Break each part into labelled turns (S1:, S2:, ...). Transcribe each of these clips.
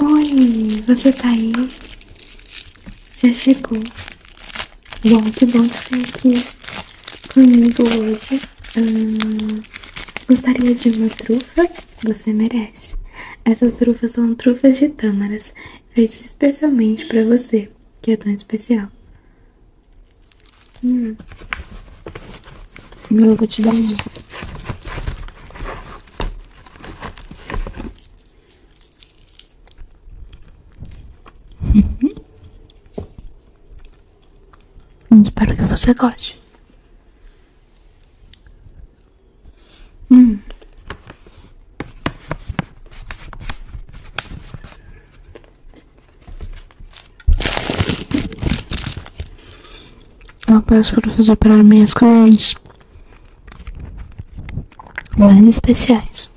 S1: Oi, você tá aí? Já chegou? Bom, que bom que estar tá aqui comigo hoje. Hum, gostaria de uma trufa você merece. Essas trufas são trufas de tâmaras, feitas especialmente para você, que é tão especial. Hum. Eu uhum. hum, Espero que você goste. Hum. Eu peço para fazer para minhas clientes mais especiais.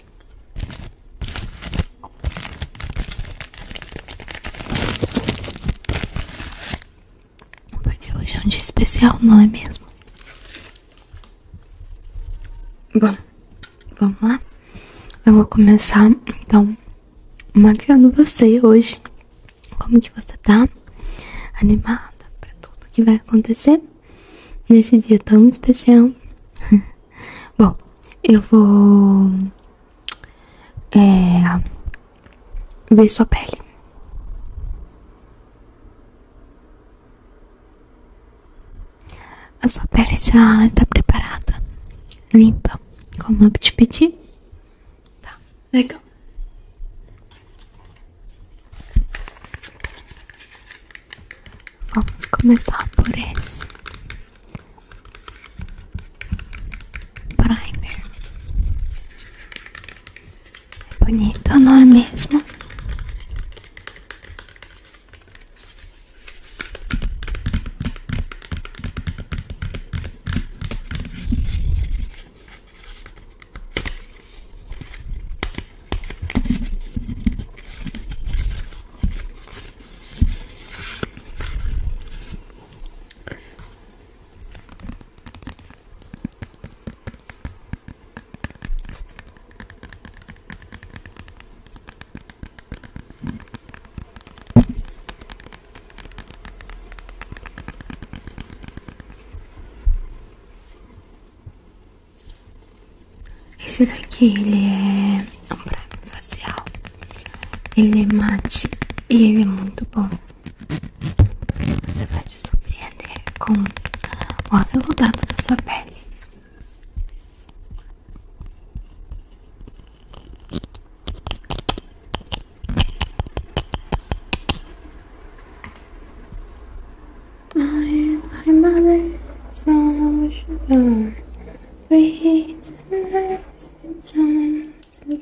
S1: Porque hoje é um dia especial, não é mesmo? Bom, vamos lá? Eu vou começar então maquiando você hoje. Como que você tá? Animada para tudo que vai acontecer nesse dia tão especial? Bom, eu vou é, ver sua pele. A sua pele já está preparada, limpa, como eu te pedi. Tá, legal. Vamos começar por esse. Primer. É bonito, não é mesmo? Esse daqui ele é um prêmio facial ele é mate e ele é muito bom. Você vai se surpreender com o aveludado da sua pele. I, my mother is not a Please, and time to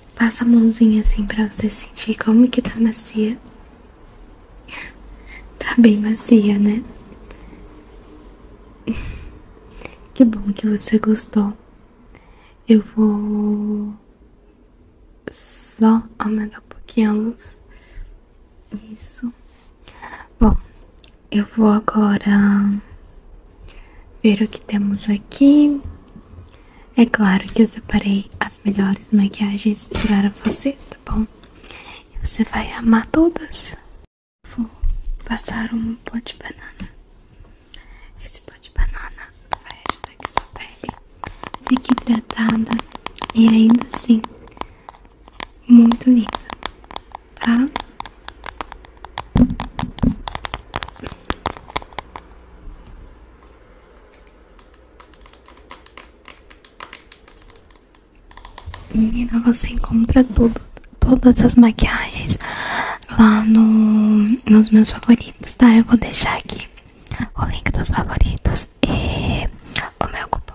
S1: Passa a mãozinha assim pra você sentir como que tá macia. Tá bem macia, né? Que bom que você gostou. Eu vou só aumentar um pouquinho a luz. Isso. Bom, eu vou agora ver o que temos aqui. É claro que eu separei as melhores maquiagens para você, tá bom? Você vai amar todas. Vou passar um pó de banana. Esse pó de banana vai ajudar que sua pele fique hidratada e ainda assim muito linda, tá? Menina, você encontra tudo, todas as maquiagens lá no, nos meus favoritos, tá? Eu vou deixar aqui o link dos favoritos e o meu cupom.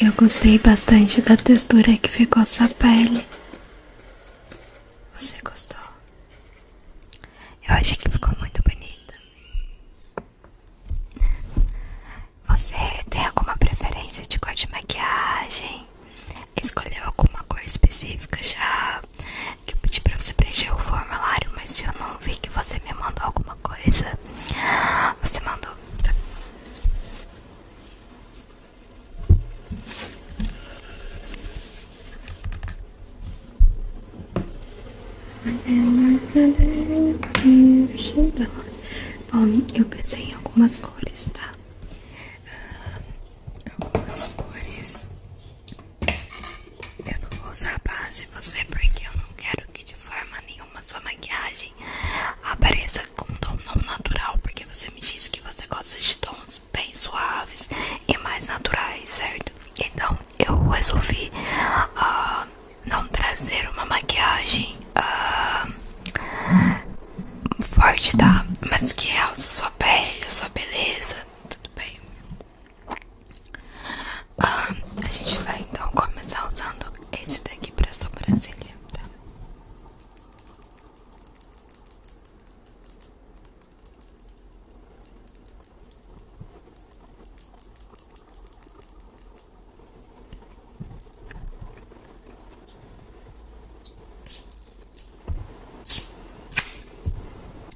S1: Eu gostei bastante da textura que ficou essa pele. Você gostou? Eu achei que ficou muito bonita. Você tem alguma preferência de cor de maquiagem? Escolheu alguma cor específica já? Que eu pedi pra você preencher o formulário, mas se eu não vi que você me mandou alguma coisa. Você mandou. Bom, eu pensei em algumas cores, tá? Ah, algumas cores eu não vou usar base você porque eu não quero que de forma nenhuma sua maquiagem apareça com um tom não natural, porque você me disse que você gosta de tons bem suaves e mais naturais, certo? Então eu resolvi ah, não trazer uma maquiagem uh, forte, tá? Mas que realça sua pele, sua beleza, tudo bem? Ah, a gente vai então começar usando esse daqui pra sobrancelha, tá?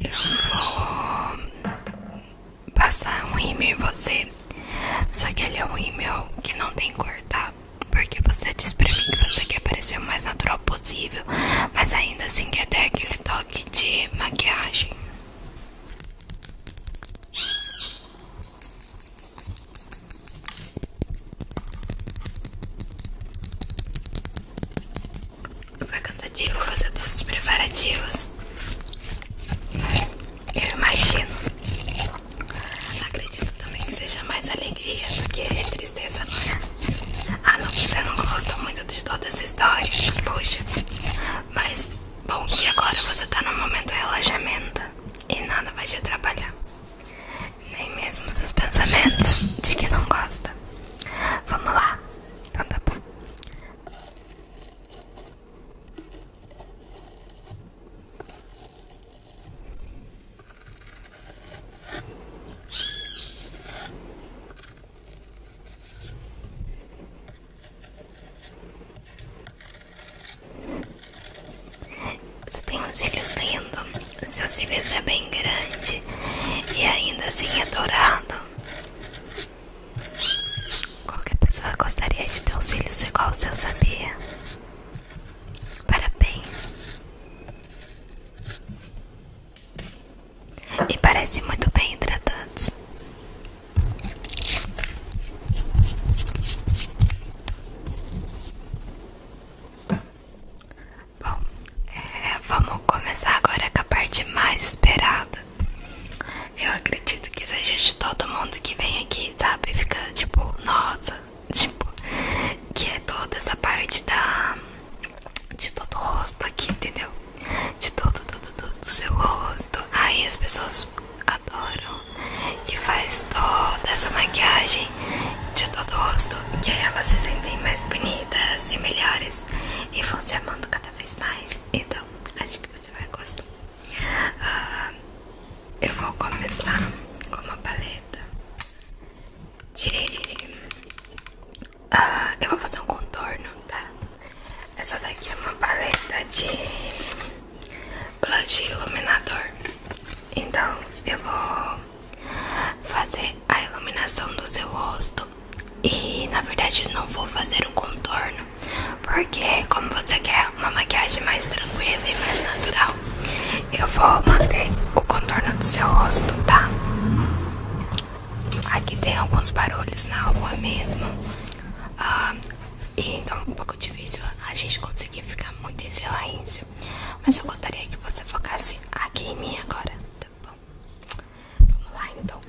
S1: eu vou passar um rímel em você. Só que ele é um rímel que não tem cor, tá? Porque você diz pra mim que você quer parecer o mais natural possível. Mas ainda assim quer ter aquele toque de maquiagem.
S2: Foi cansativo fazer todos os preparativos.
S1: Eu imagino. Acredito também que seja mais alegria do que tristeza, não é? Ah, não, você não gosta muito de toda essa história. Puxa. Mas, bom que agora você tá no momento de relaxamento e nada vai te atrapalhar. Nem mesmo seus pensamentos de que não gosta. Vamos lá. Então tá bom. Você tem uns cílios lindos. Seus cílios é bem grande e ainda assim é dourado. Qualquer pessoa gostaria de ter os cílios igual o seu, sabia? Parabéns. E parece muito bem hidratados. Bom, é, vamos começar agora com a parte mais esperada. Eu acredito que seja de todo mundo que vem aqui, sabe? Fica tipo, nossa, tipo, que é toda essa parte da. de todo o rosto aqui, entendeu? De todo, tudo, tudo, do seu rosto. Aí as pessoas adoram que faz toda essa maquiagem de todo o rosto, que aí elas se sentem mais bonitas e melhores e vão se amando cada vez mais. Então, acho que você vai gostar. Ah, eu vou começar com uma paleta de. Ah, eu vou fazer um contorno, tá? Essa daqui é uma paleta de blush iluminador. Então eu vou fazer a iluminação do seu rosto e na verdade não vou fazer um contorno porque como você quer uma maquiagem mais tranquila e mais natural eu vou manter o contorno do seu rosto tá aqui tem alguns barulhos na rua mesmo ah, e então é um pouco difícil a gente conseguir ficar muito em silêncio mas eu gostaria que você focasse aqui em mim agora, tá bom? Vamos lá então.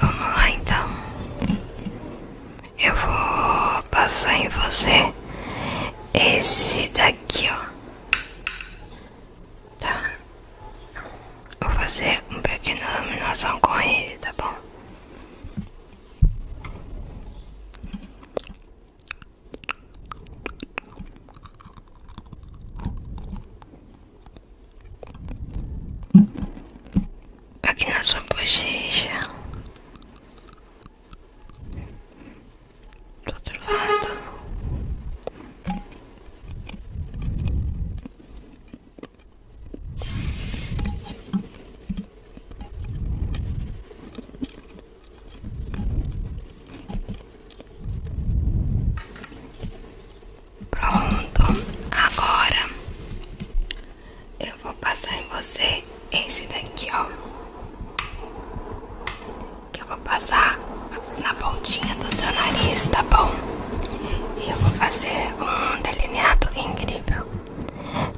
S1: Vamos lá então. Eu vou passar em você esse daqui, ó. Tá. Vou fazer um pequena
S2: iluminação com ele, tá
S1: bom? Aqui na sua bochecha, do outro lado. Pronto, agora eu vou passar em você esse daqui, ó. Que eu vou passar na pontinha do seu nariz, tá bom? E eu vou fazer um delineado incrível.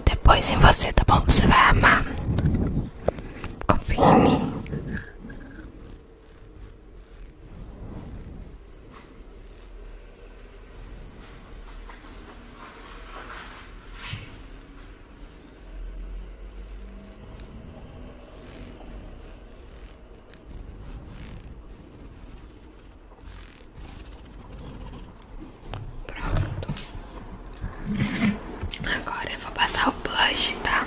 S1: Depois em você, tá bom? Você vai amar. Confie em mim. Pronto. Agora eu vou passar o blush, tá?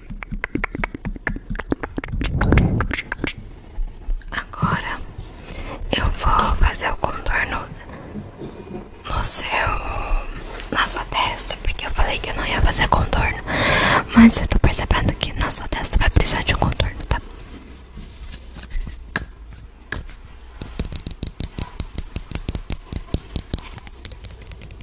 S1: Agora eu vou fazer o contorno no seu, na sua testa, porque eu falei que eu não ia fazer contorno, mas eu tô percebendo que na sua testa vai precisar de um contorno, tá?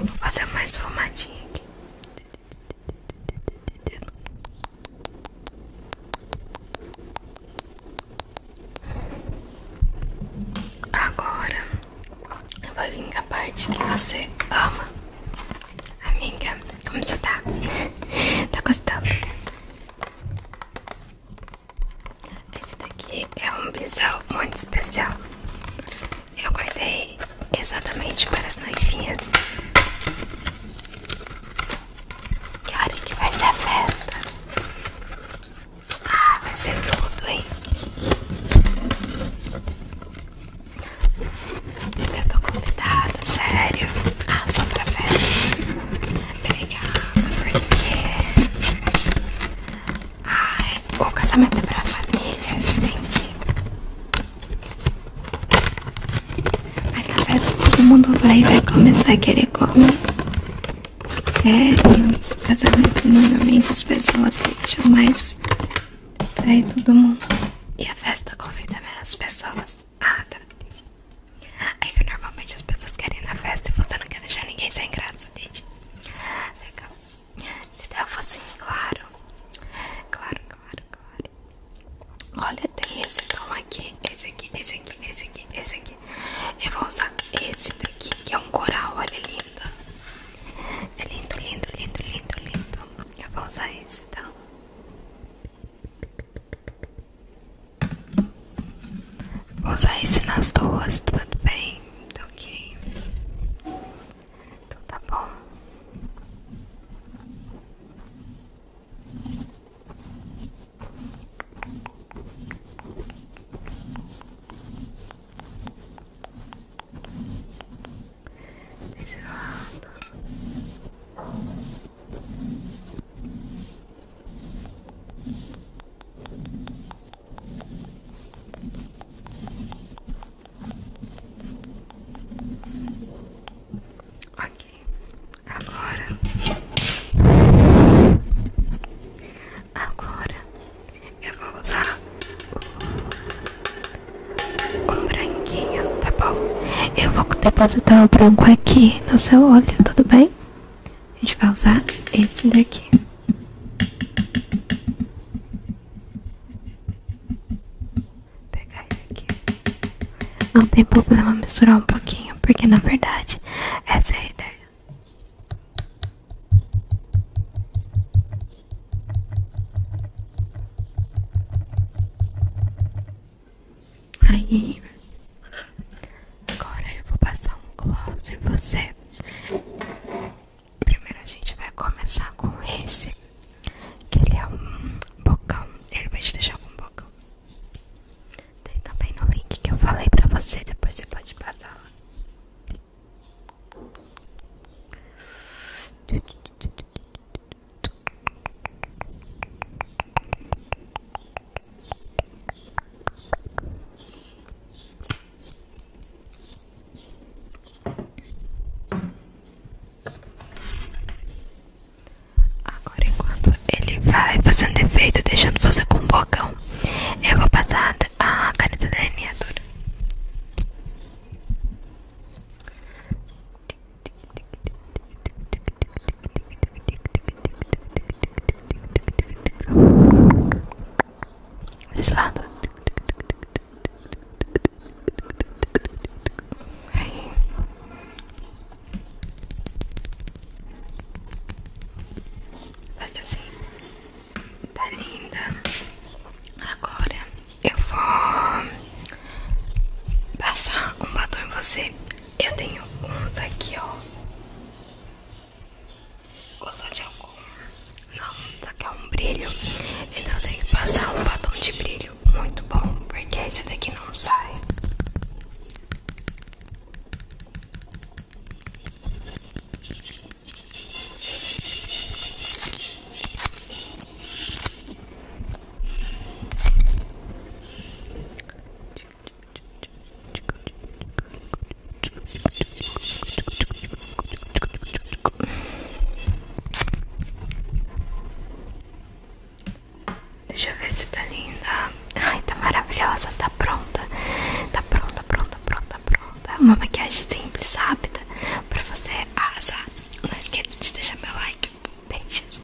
S1: vou fazer mais fumadinha aqui. Agora eu vou vir a parte que você ama. Amiga, como você tá? tá gostando? Esse daqui é um bisel muito especial. Eu guardei exatamente para as noivinhas. Que hora que vai ser a festa? Ah, vai ser tudo, hein? Eu tô convidada, sério. Ah, só pra festa. Obrigada, porque Ai, o casamento é pra família, entendi. Mas na festa todo mundo vai, vai começar a querer comer. É, casamento normalmente as pessoas deixam mais pra todo mundo. E a festa convida menos pessoas. Ah, tá. Aí é que normalmente as pessoas querem na festa e você não quer deixar ninguém sem graça, gente. Legal. Se der assim, claro. Claro, claro, claro. Olha, tem esse tom aqui, esse aqui, esse aqui, esse aqui, esse aqui. Eu vou usar esse daqui, que é um coral, olha, lindo. É lindo, lindo, lindo, lindo, lindo. Eu vou usar esse, então. Vou usar esse nas duas, tudo bem? Tá ok. Então tá bom. Desse lado. Ok, agora, agora eu vou usar um branquinho, tá bom? Eu vou depositar o branco aqui no seu olho, tudo bem? A gente vai usar esse daqui. Vou pegar esse aqui. Não tem problema misturar um pouquinho, porque na verdade essa é a ideia. Aí, agora eu vou passar um close em você. Primeiro a gente vai começar com esse, que ele é um bocão. Ele vai te deixar com um bocão. Tem também no link que eu falei pra você, depois você pode passar lá. Agora, enquanto ele vai fazendo efeito, deixando você com bocão, eu vou passar a caneta delineadora. Desse lado. Aí. Faz assim. Tá linda. Agora eu vou passar um batom em você. Eu tenho uns aqui, ó. Gostou de algum? Não, só que é um brilho. Então eu tenho que passar um batom de brilho muito bom, porque esse daqui não sai. Deixa Deixa eu ver se tá linda. Ai, tá maravilhosa, tá pronta. Tá pronta, pronta, pronta, pronta. Uma maquiagem simples, rápida, pra você arrasar. Não esqueça de deixar meu like. Beijos.